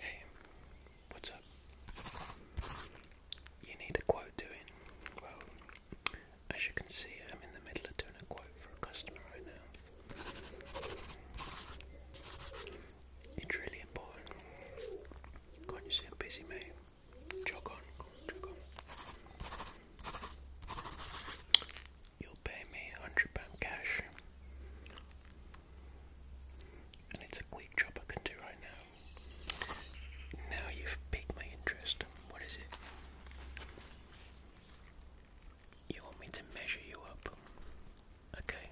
Hey, what's up? You need a quote doing? Well, as you can see, I'm in the middle of doing a quote for a customer right now. It's really important. Can't you see I'm busy, mate? Jog on, jog on pay me hundred pound cash, and it's a quick job I can do right now. Now you've piqued my interest. What is it? You want me to measure you up? Okay.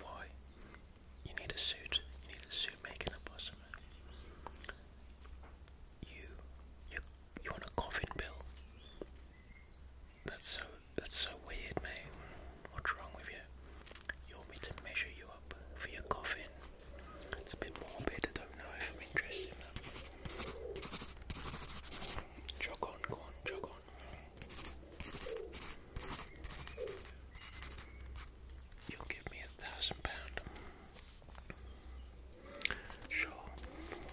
Why? You need a suit. You need a suit making up or You, you, you want a coffin bill? That's so that's so weird, man. What's wrong with you? You want me to measure you up for your coffin? It's a bit morbid. I don't know if I'm interested in that. Jog on, go on, jog on. You'll give me a thousand pound. Sure.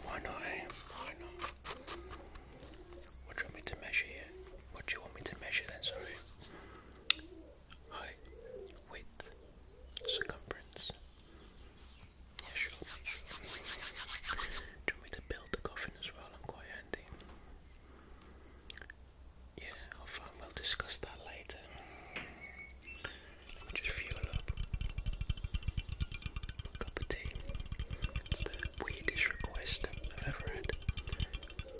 Why not? Eh? Why not? What do you want me to measure here? What do you want me to measure then, sorry? Height, width, circumference. Yeah, sure, Do you want me to build the coffin as well? I'm quite handy. Yeah, i we'll discuss that later just fuel up. Cup of tea. It's the weirdest request I've ever had.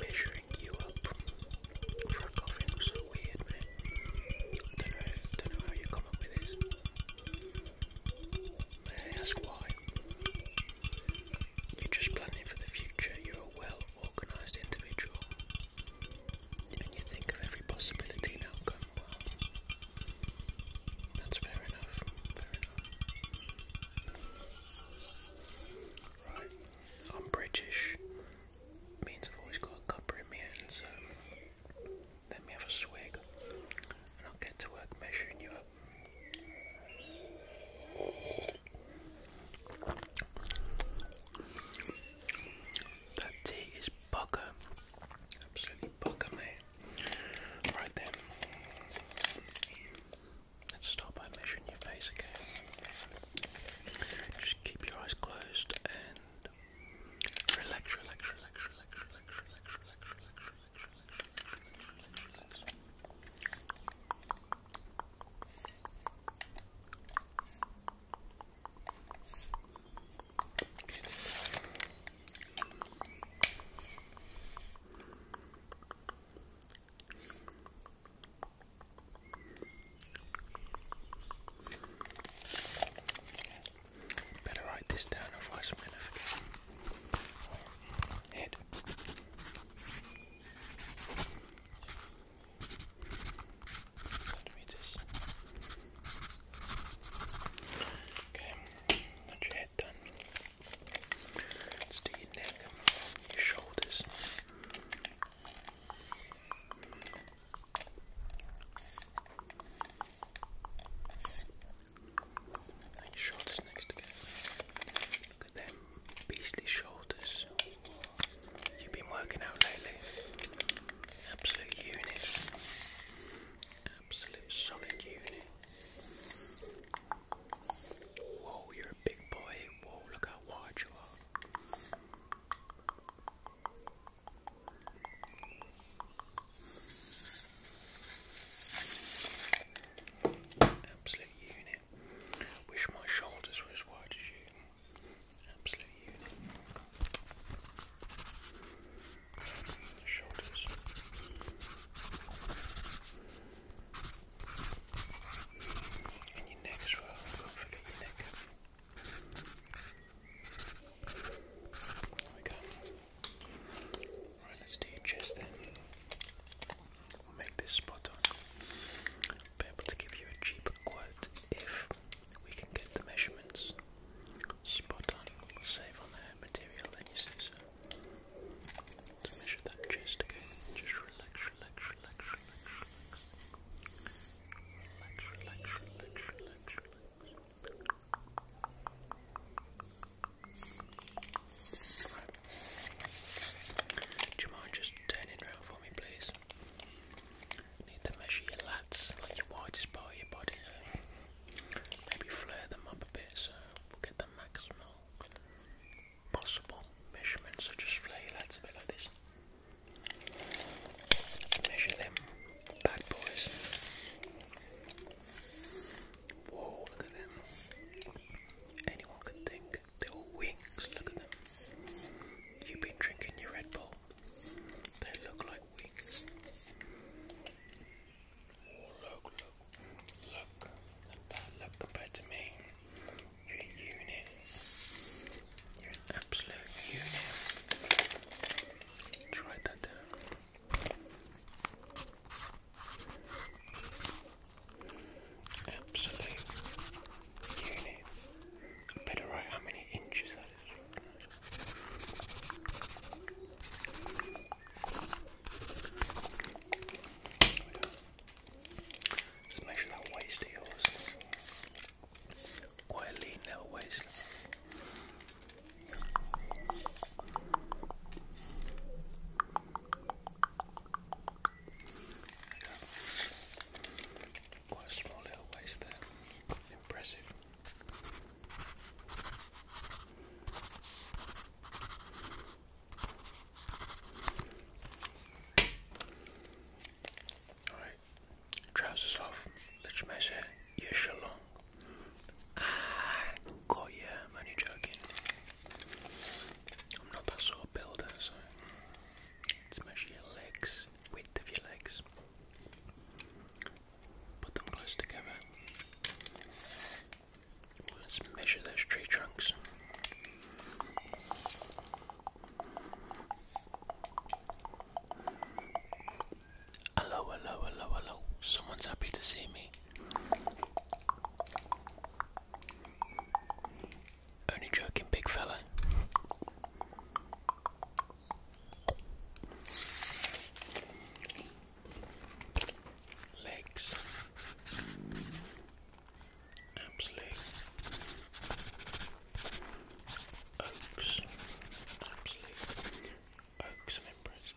Measuring you up for a coffin was so weird, man. I don't know, if, don't know how you come up with this. May I ask why? You're just planning for the future. You're a well organised individual. And you think of every possibility and outcome. That's fair enough. Right. I'm British. Means I've always got a cuppa in my hand, so let me have a swig and I'll get to work measuring you up. That tea is bugger. Absolutely bugger, mate. Right then, let's start by measuring your face again. Just keep your eyes closed and relax, relax, relax, relax, relax, relax, relax, relax, relax, relax, relax, relax, relax, Better write this down, I'm going to forget. Head. Okay, your head done. Let's do your neck, your shoulders. And your shoulders next to Look at them beastly shoulders. You've been working out lately. Absolute unit. Absolute solid unit. Whoa, you're a big boy. Whoa, look how wide you are. Absolute unit. Wish my shoulders were as wide as you. Absolute unit. Shoulders. And your neck as well. Don't forget your neck. There we go. Right, let's do your chest then. We'll make this spot on. be able to give you a cheaper quote if we can get the measurements spot on. save on the material then you see so. measure that chest again. Just relax, relax, relax, relax, relax. Relax, relax, relax, relax, Do you mind just turning round for me please? You need to measure your lats, like your widest part of your body, maybe flare them up a bit so we get the maximal possible measurement. So just flare your lats a bit like this. Let's measure them bad boys. Whoa, look at them. Anyone could think they were wings, look at them. You've been drinking your Red Bull they look like wings. Oh, look, look, look that. Look compared to me. You're a unit. You're an absolute unit. Try that down. Absolute unit. I better write how many inches Let's measure that waist of Quite lean little waist. Quite a small little waist there. Impressive. Alright, trousers off. Let's measure your shalong. Ah, got you. I'm I'm not that sort of builder, so let's measure your legs width of your legs. Put them close together. Let's measure those tree trunks. Hello, hello, hello, hello. Someone's happy to see me. Only joking, big fella. Legs. Absolute. Oaks. Absolute. Oaks members.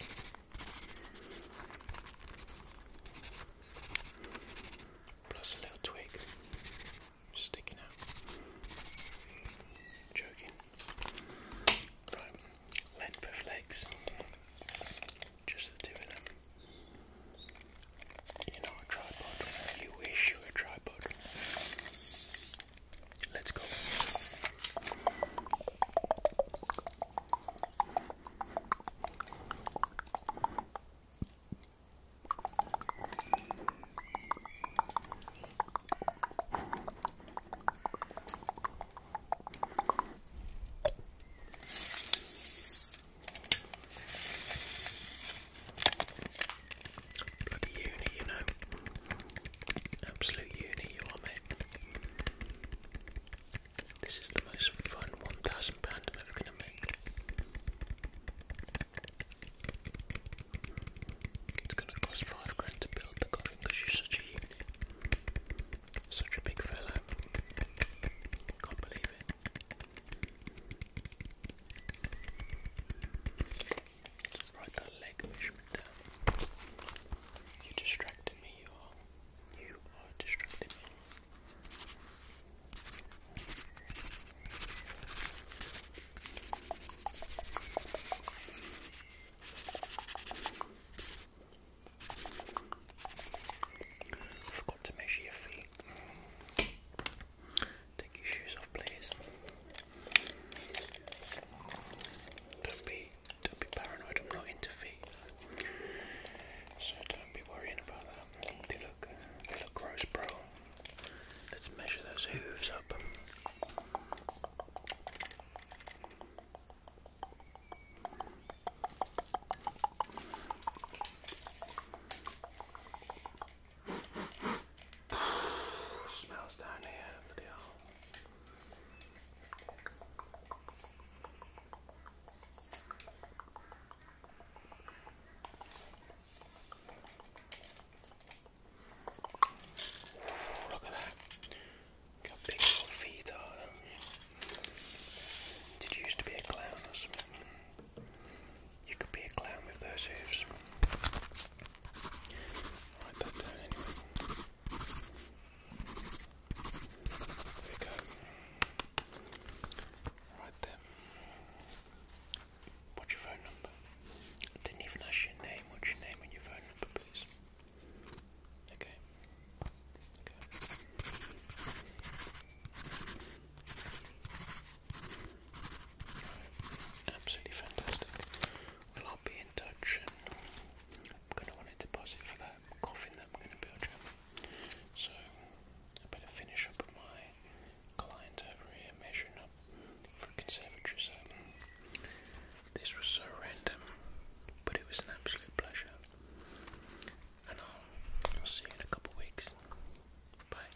Plus a little twig sticking out. Joking. Right, length legs. Just the two of them. You're a tripod. You wish you a tripod. Let's go. Bloody uni, you know. Absolute uni, you mate. This is the most fun £1,000 I'm ever going to make. It's gonna cost five grand to build the coffin because you're such a Such a big fella. Can't believe it. Write that leg measurement down. You're distracting me, you are. You are distracting me. Forgot to measure your feet. Take your shoes off, please. Don't be, don't be paranoid. I'm not into feet, so don't be worrying about that. They look, they look gross, bro. Let's measure those hooves up. Smells down here, bloody hell. Look at that. Look big your feet are, you? Did you used to be a clown or something? You could be a clown with those hooves. write that down There we go. Right then. What's your phone number? didn't even ask your name. What's your name and your phone number, please? Okay. Absolutely fantastic. Well, will be in touch I'm going to want to deposit for that coffin that I'm going to build you. So I better finish up my client over here measuring up for a This was so random, but it was an absolute pleasure. And I'll, see you in a couple weeks. Bye.